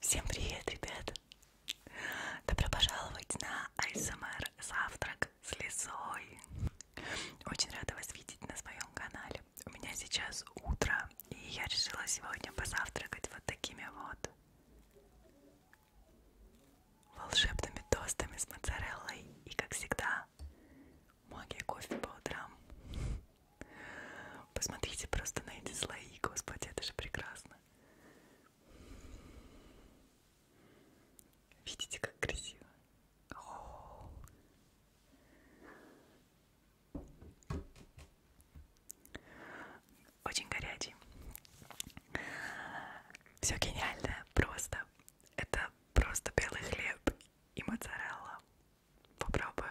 Всем привет, ребята! Добро пожаловать на АСМР эм Завтрак с лесой. Очень рада вас видеть на своем канале. У меня сейчас утро, и я решила сегодня позавтракать вот такими вот волшебными тостами с моцареллой. И, как всегда, магия кофе по утрам. Посмотрите просто на эти слои, господи, это же прекрасно. Видите, как красиво. О -о -о. Очень горячий. Все гениальное, просто. Это просто белый хлеб и моцарелла. Попробую.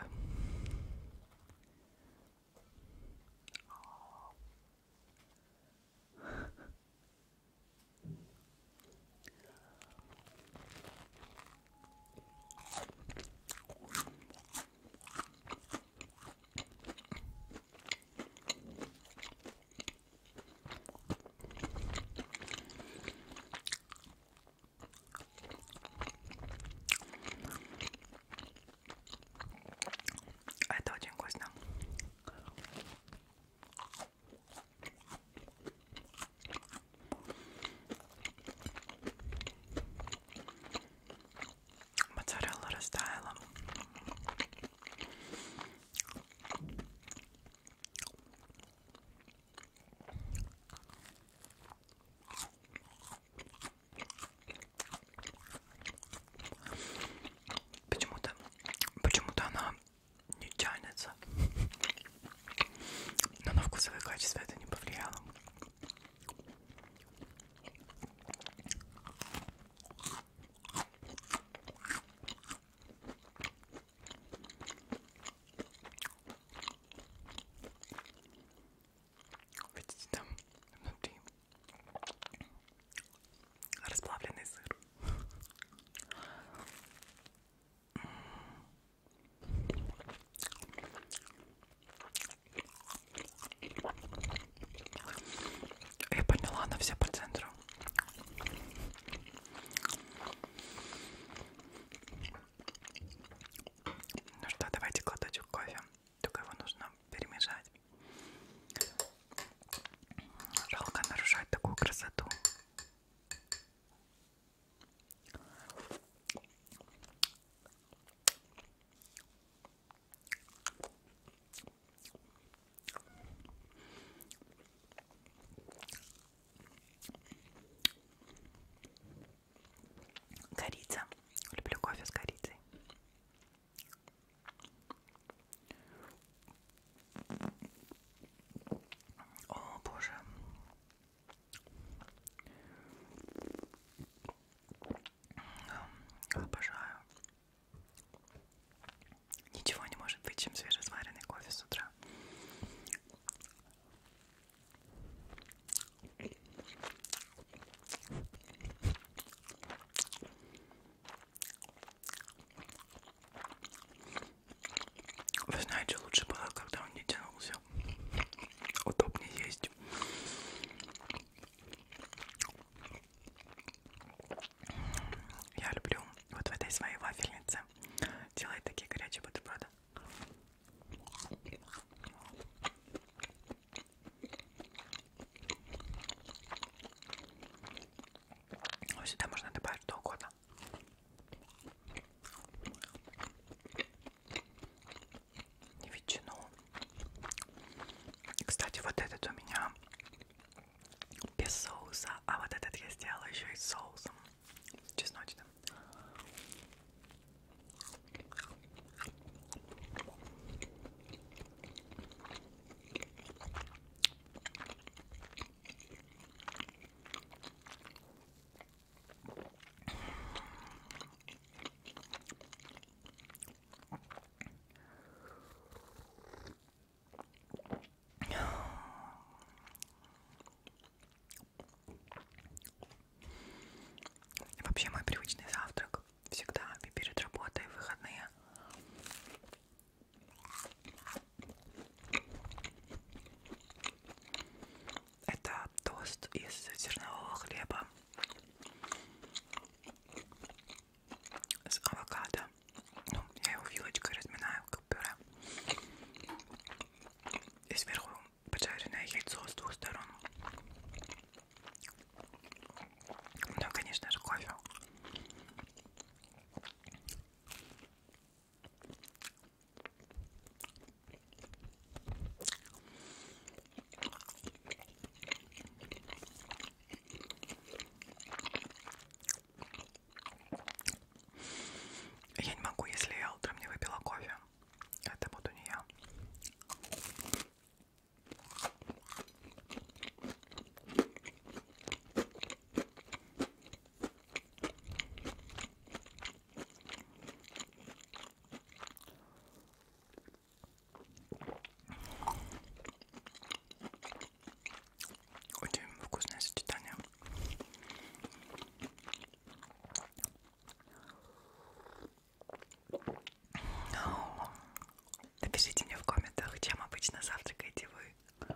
А это очень вкусно. Моцарелла растаяла. Почему-то, почему-то она не тянется но на вкусовое качество это не повлияло. Видите, там внутри расплавленный сыр. Я поняла на все по центру. Ну что, давайте кладочек кофе. Только его нужно перемешать. Жалко нарушать такую красоту. Корица. Люблю кофе с корицей. О, боже. Эм, обожаю. Ничего не может быть, чем свежесваренный кофе с утра. Вы знаете, лучше было, а, когда он не тянулся. Удобнее есть. Я люблю вот в этой своей вафельнице делать такие горячие бутерброды. Сюда можно добавить что угодно вкусно. И ветчину. Кстати, вот этот у меня без соуса, а вот этот я сделала еще и с соусом чесночным. Вообще мой привычный завтрак всегда перед работой в выходные это тост из зернового хлеба с авокадо. Ну, я его вилочкой разминаю, как пюре. И сверху поджаренное яйцо с двух сторон. Ну, конечно же, кофе. Я не могу, если я утром не выпила кофе. Это буду не я. Очень вкусное сочетание. Напишите мне в комментах, чем обычно завтракаете вы.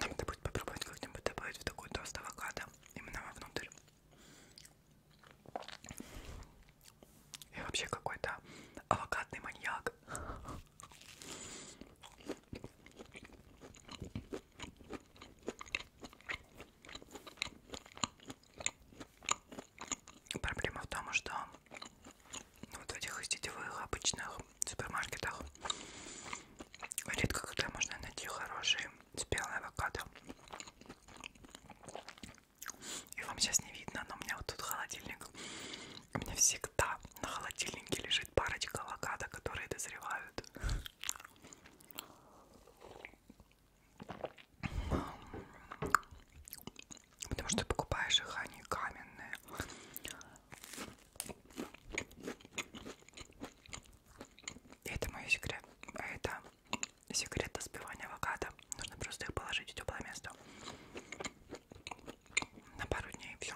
Надо будет попробовать как-нибудь добавить в такой тост авокадо именно вовнутрь. Я вообще какой-то авокадный маньяк. Проблема в том, что вот в этих сетевых обычных супермаркетах редко когда можно найти хорошие спелый авокадо. И вам сейчас не видно, но у меня вот тут холодильник. У меня всегда на холодильнике лежит парочка авокадо, которые дозревают. Потому что покупаешь их, они каменные. И это мой секрет. Это секрет сбивания авокадо. Нужно просто их положить в теплое место. На пару дней все.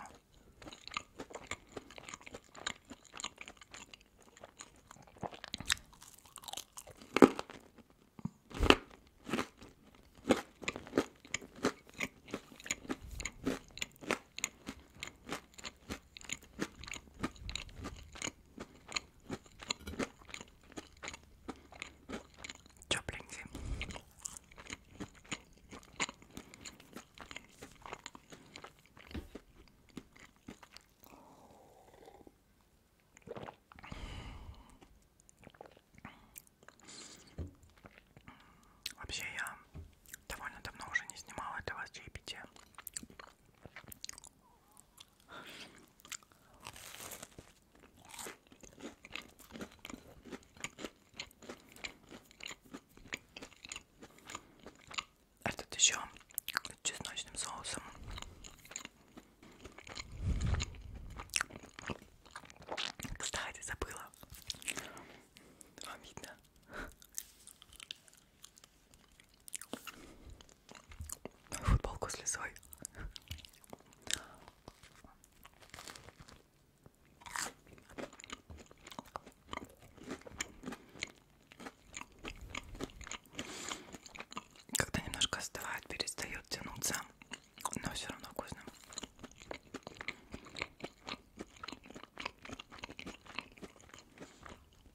Тепленький. Вообще я довольно давно уже не снимала для вас чаепитие. Этот а еще чесночным соусом. Кстати, забыла. Вам видно? Футболку с лисой. Когда немножко остывает, перестает тянуться, но все равно вкусно.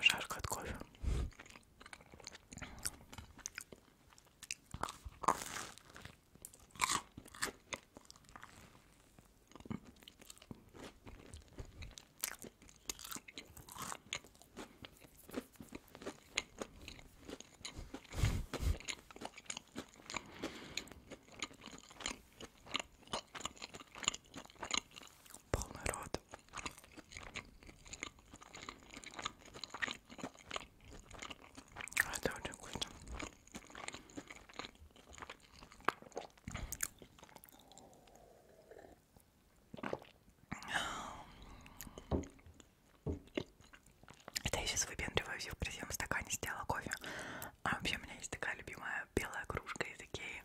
Жарко от кофе. Полный рот. А это очень вкусно. Это я сейчас выпендриваюсь, я в красивом стакане сделала кофе. А вообще у меня есть такая любимая такая белая кружка из Икеи.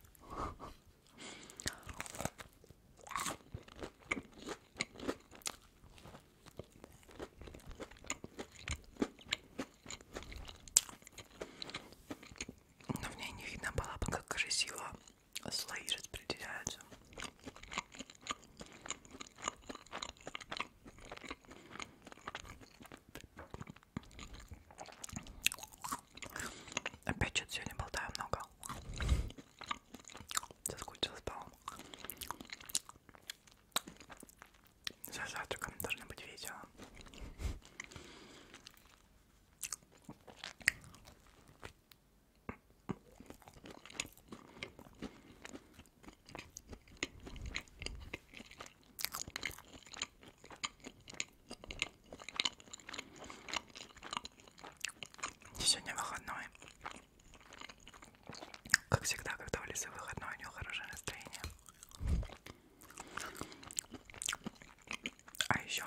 Но в ней не видно было бы, как красиво слои распределяются. Опять что-то сегодня болтаю много. Соскучилась по вам. За завтраком должно быть видео. Сегодня выходной. Как всегда, когда в лесу выходной, у него хорошее настроение. А еще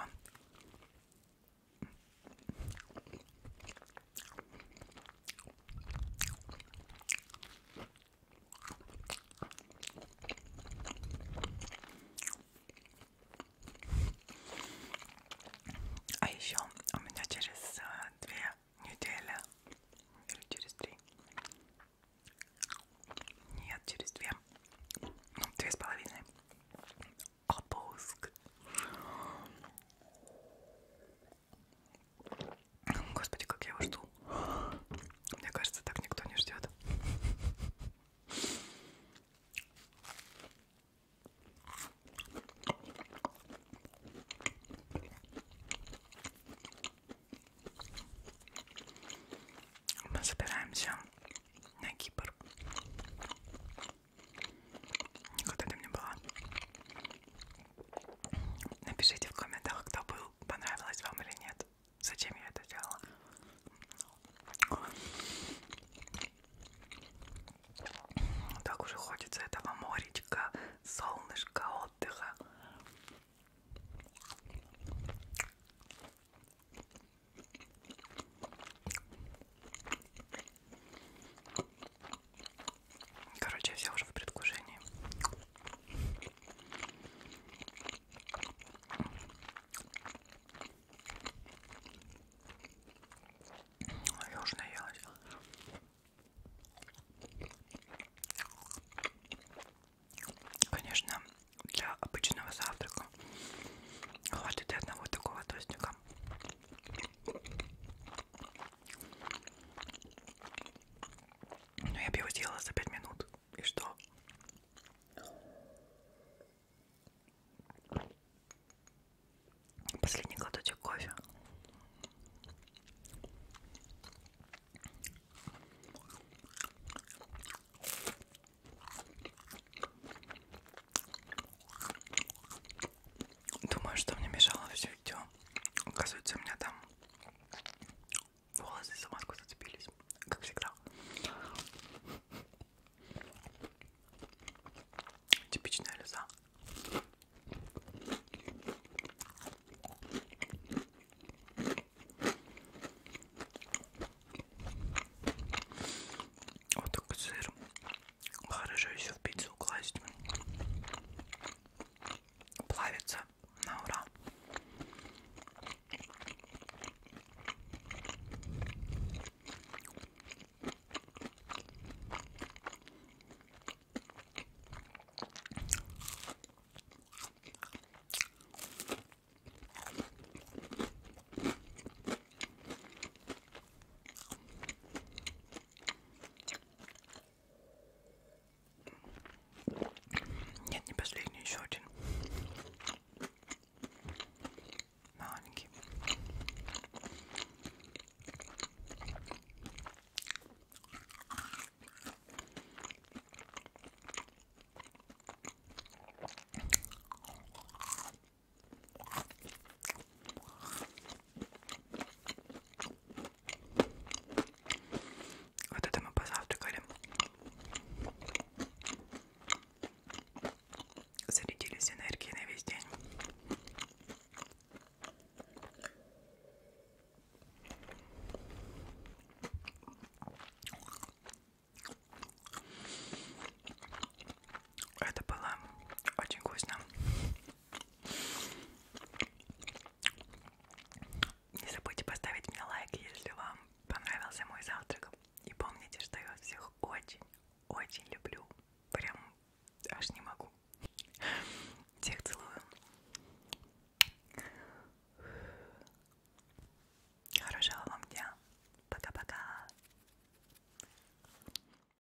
а еще у меня через а, две недели или через три. Нет, через две. Ну, две с половиной. Отпуск. Господи, как я его жду. Мне кажется, так никто не ждет. Мы собираемся на Кипр. Никогда там не была. Напишите в комментах, кто был, понравилось вам или нет. Зачем я это делала? Так уже хочется этого моречка, солнышка, отдыха. Короче, я вся уже в предвкушении. Ну, я уже наелась. Конечно, для обычного завтрака хватит и одного такого тостика. Но ну, я бы его сделала за 5 минут. И что? Последний глоточек кофе. Думаю, что мне мешало все видео. Оказывается, у меня там волосы за маску зацепились, как всегда. Типичная лиза. Вот такой сыр. Хорошо еще в пиццу класть плавится на ура. Нет, не последний, еще один. Маленький. Вот это мы позавтракали. Зарядились энергией на весь день. Это было очень вкусно. Не забудьте поставить мне лайк, если вам понравился мой завтрак. И помните, что я вас всех очень-очень люблю. Прям аж не могу. Всех целую. Хорошего вам дня. Пока-пока.